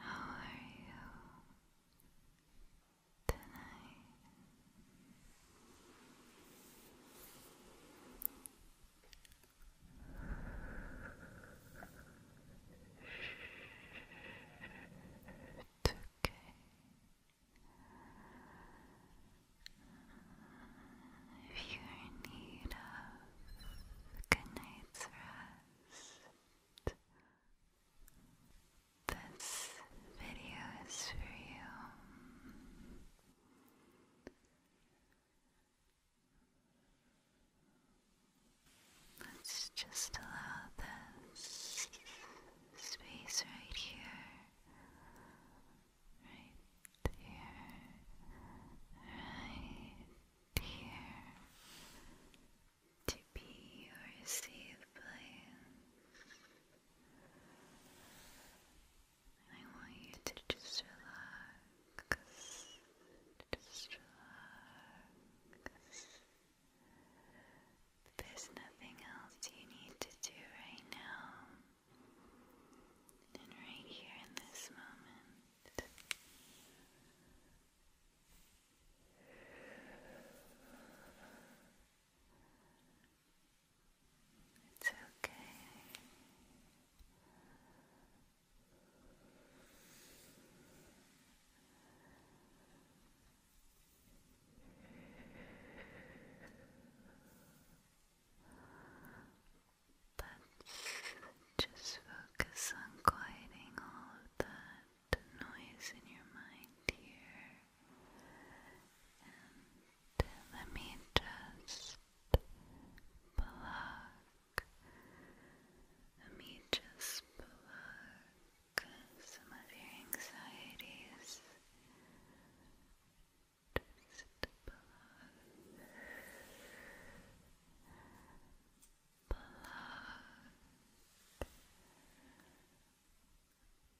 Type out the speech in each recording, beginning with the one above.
How are you tonight? It's okay. If you're in need of a good night's rest, this video is for you. Let's just allow this space right here, right here, right here to be your safe place. I want you to just relax. Just relax. There's nothing else you need to do right now. And right here in this moment. It's okay. But just focus on quieting all of that noise in your mind here let me just pluck. Let me just pluck some of your anxieties. Just pluck. Pluck.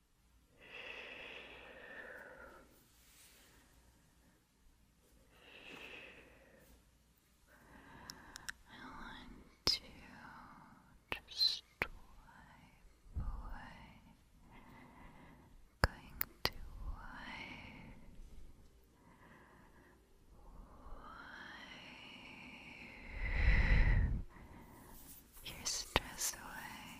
I want to just wipe away. Going to wipe, wipe your stress away.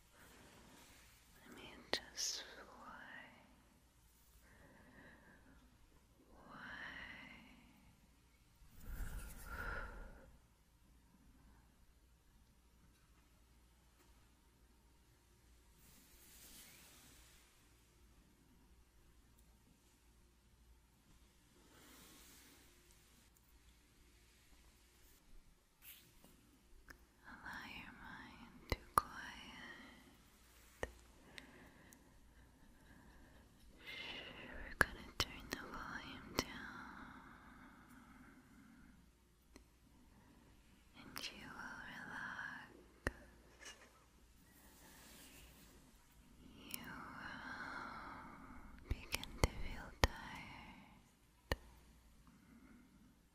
I mean, just fly. Why? Allow your mind to quiet. We're going to turn the volume down, and you will relax. You will begin to feel tired let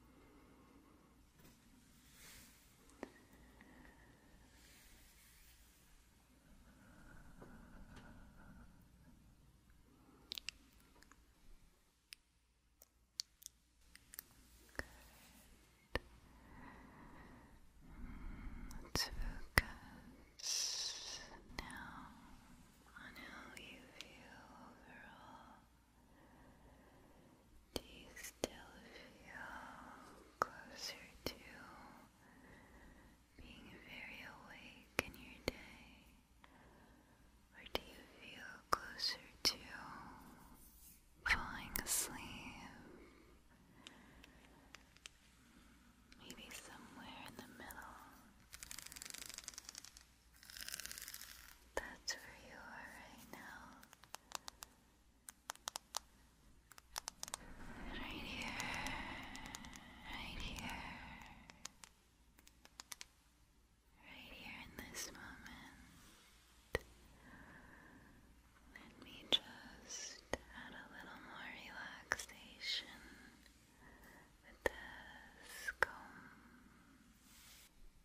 focus now on how you feel overall. Do you still feel closer to being very awake in your day? Or do you feel closer to falling asleep? Maybe somewhere in the middle. That's where you are right now. Right here. Right here. Right here in this moment. Let me just add a little more relaxation with this comb.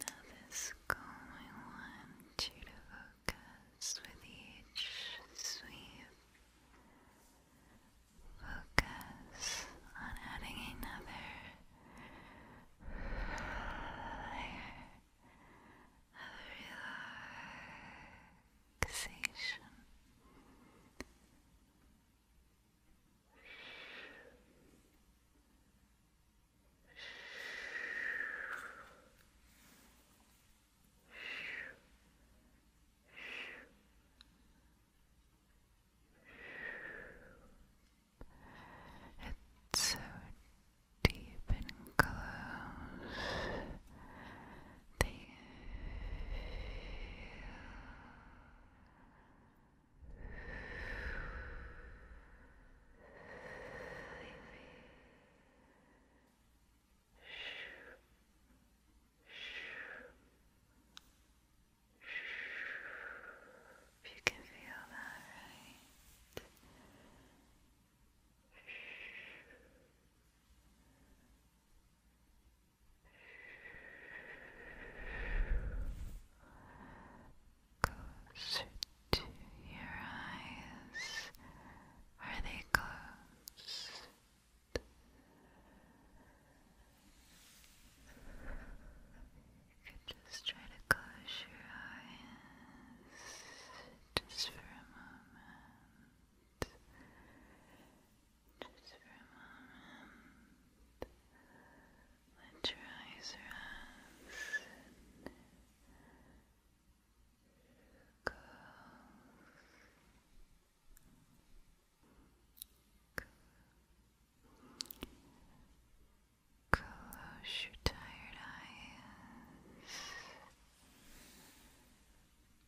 Now, this comb, I you to focus with each sweep. Focus on adding another layer of relaxation. It's so deep and close Thank you. If you can feel that, right? Shh. Closer to your eyes. Are they closed? You could just try to close your eyes just for a moment. Just for a moment, let your eyes relax close, close your tired eyes.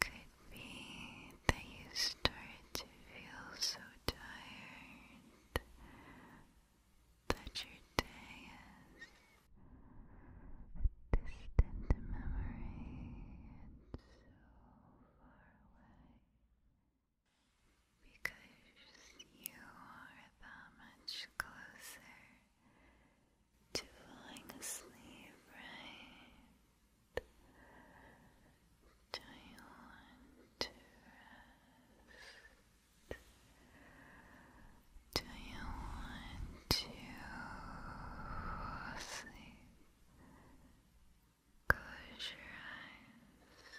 Could be that you start to feel so tired that your day is a distant memory and so far away. Because you are that much closer to falling asleep, right? Do you want to Do you want to sleep? Close your eyes.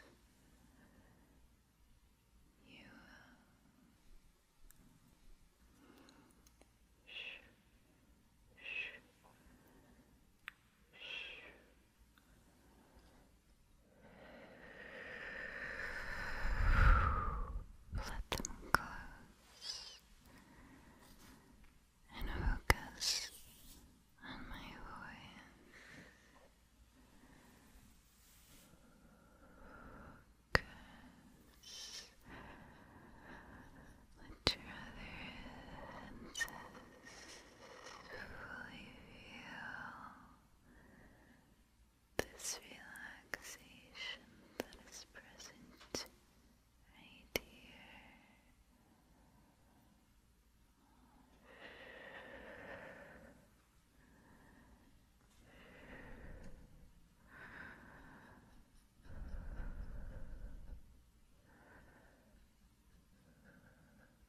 You Shh, shh. Let them close and focus on my voice your other fully feel this relaxation that is present right here.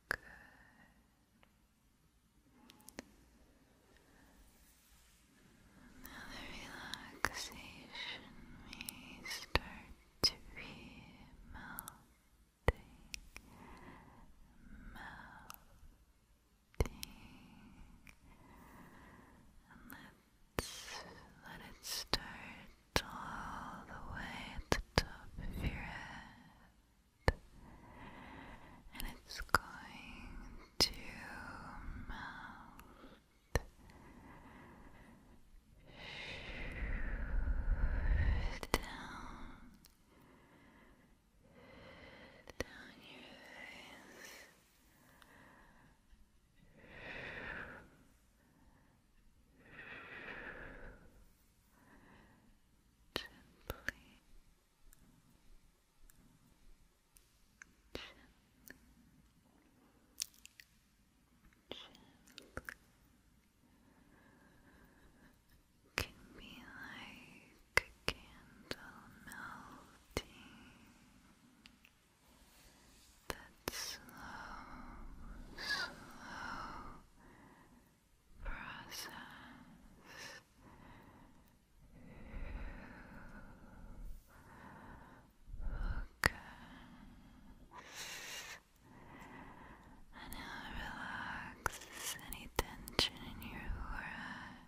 Good. Now the relaxation may start to be melting, melting, and let let it start all the way at the top of your head. And it's going to melt. Down. Down your face. Gently. Gently. Can be like candle melting that slow, slow process focus and now relax any tension in your forehead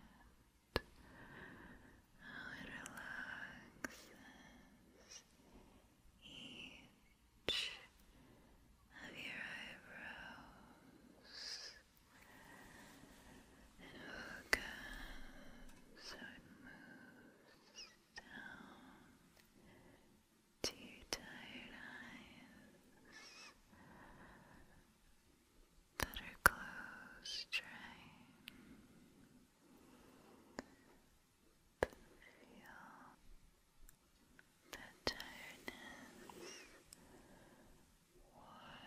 how it relaxes each of your eyebrows and focus so it moves down to your tired eyes that are closed, trying Feel the tiredness wash,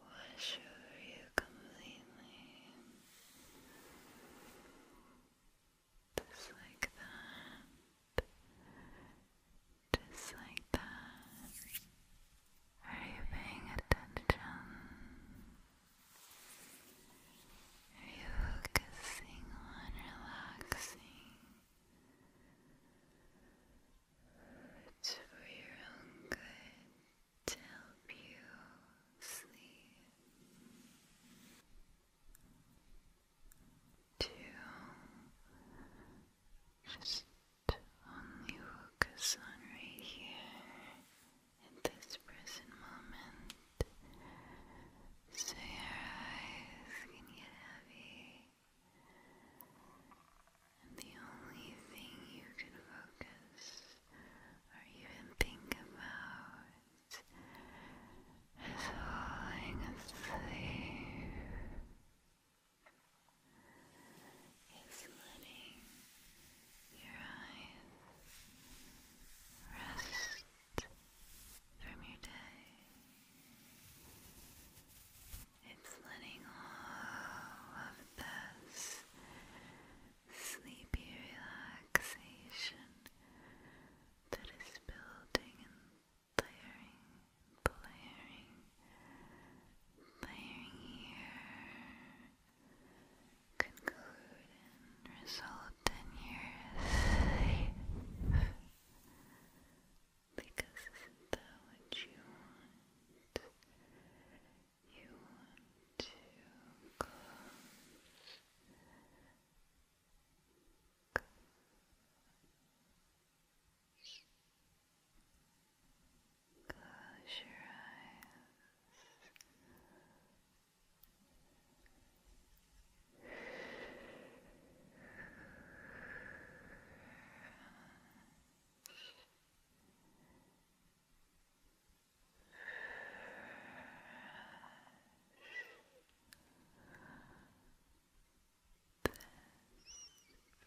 wash over you completely. Just like that. Just like that. Are you paying attention? Are you focusing on relaxing? It's for your own good to help you sleep. To just only focus on right here. In this present moment. So your eyes get heavy, and the only thing you can focus or even think about is falling asleep is letting your eyes rest from your day. It's letting all of this sleepy relaxation that is building and layering, layering, layering here conclude result in your safe. Because isn't that what you want? You want to close. Close your eyes. This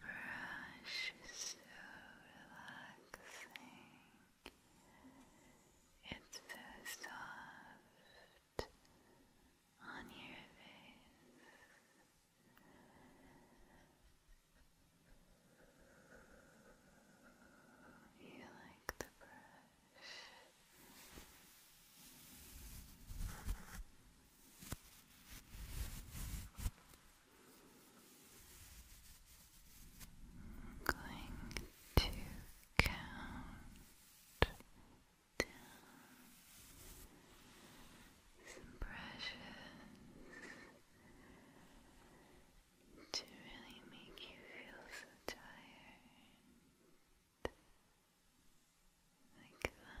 brush is so relaxing. It's so soft on your face. You like the brush. I'm going to count down some brushes to really make you feel so tired. Like that.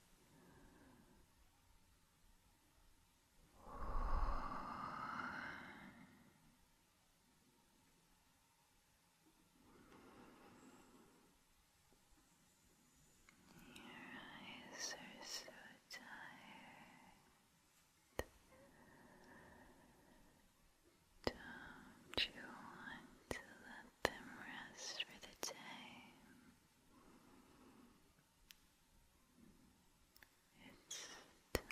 Your eyes are so tired. Don't you want to let them rest for the day? It's time.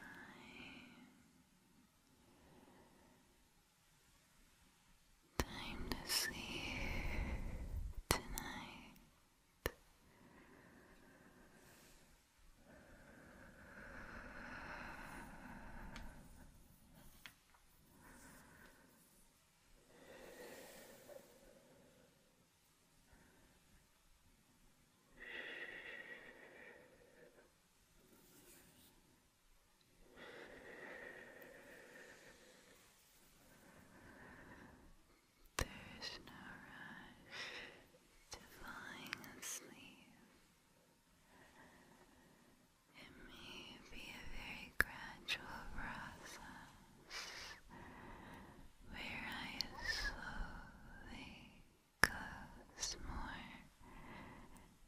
Time to sleep tonight. There's no rush to falling asleep. It may be a very gradual process where I slowly close more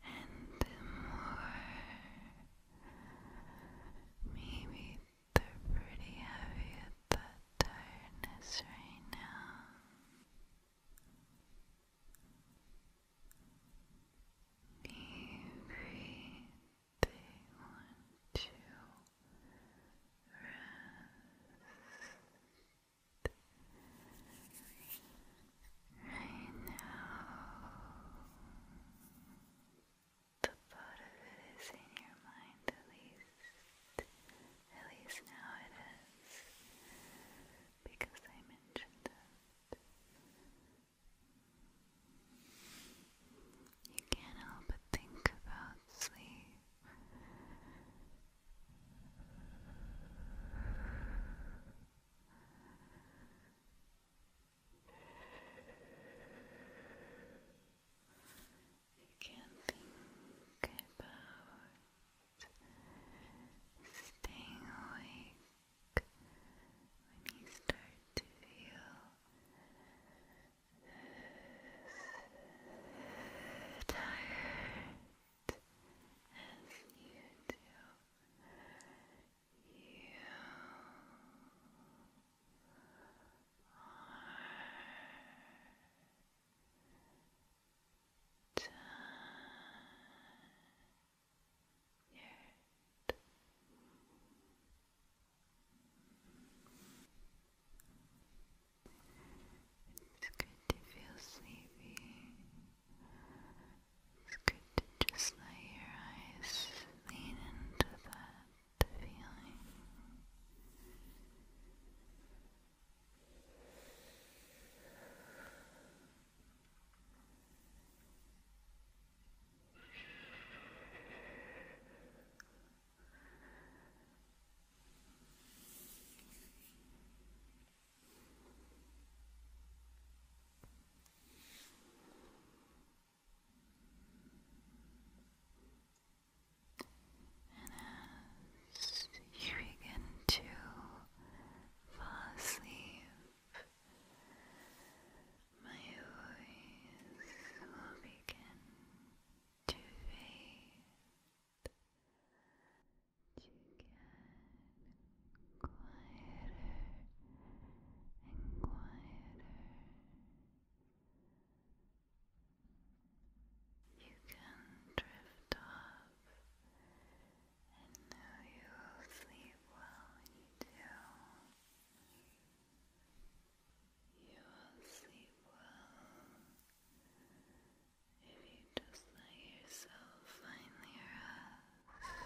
and more. Maybe they're pretty heavy at that tiredness right now. Deep they want to rest right now. The thought of it is in your mind at least. At least now it is. Because I mentioned you can't help but think about sleep. You can't think about staying awake when you start to feel tired as you do. You are done. Good. It's good to feel sleepy. It's good to just let your eyes lean into that feeling. And as you begin to fall asleep, my voice will begin to fade. To get quieter and quieter. You can drift off and know you will sleep well when you do. You will sleep well if you just let yourself finally rest.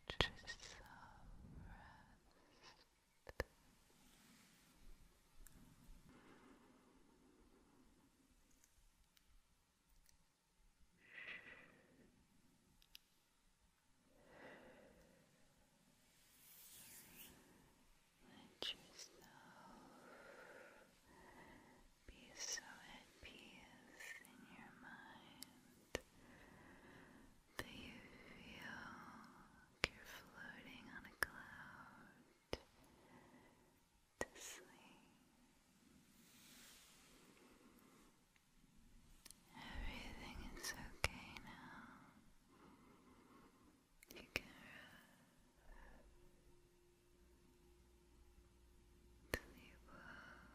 Let yourself rest. Let yourself be so at peace in your mind that you feel like you're floating on a cloud to sleep. Everything is okay now. You can Sleep well.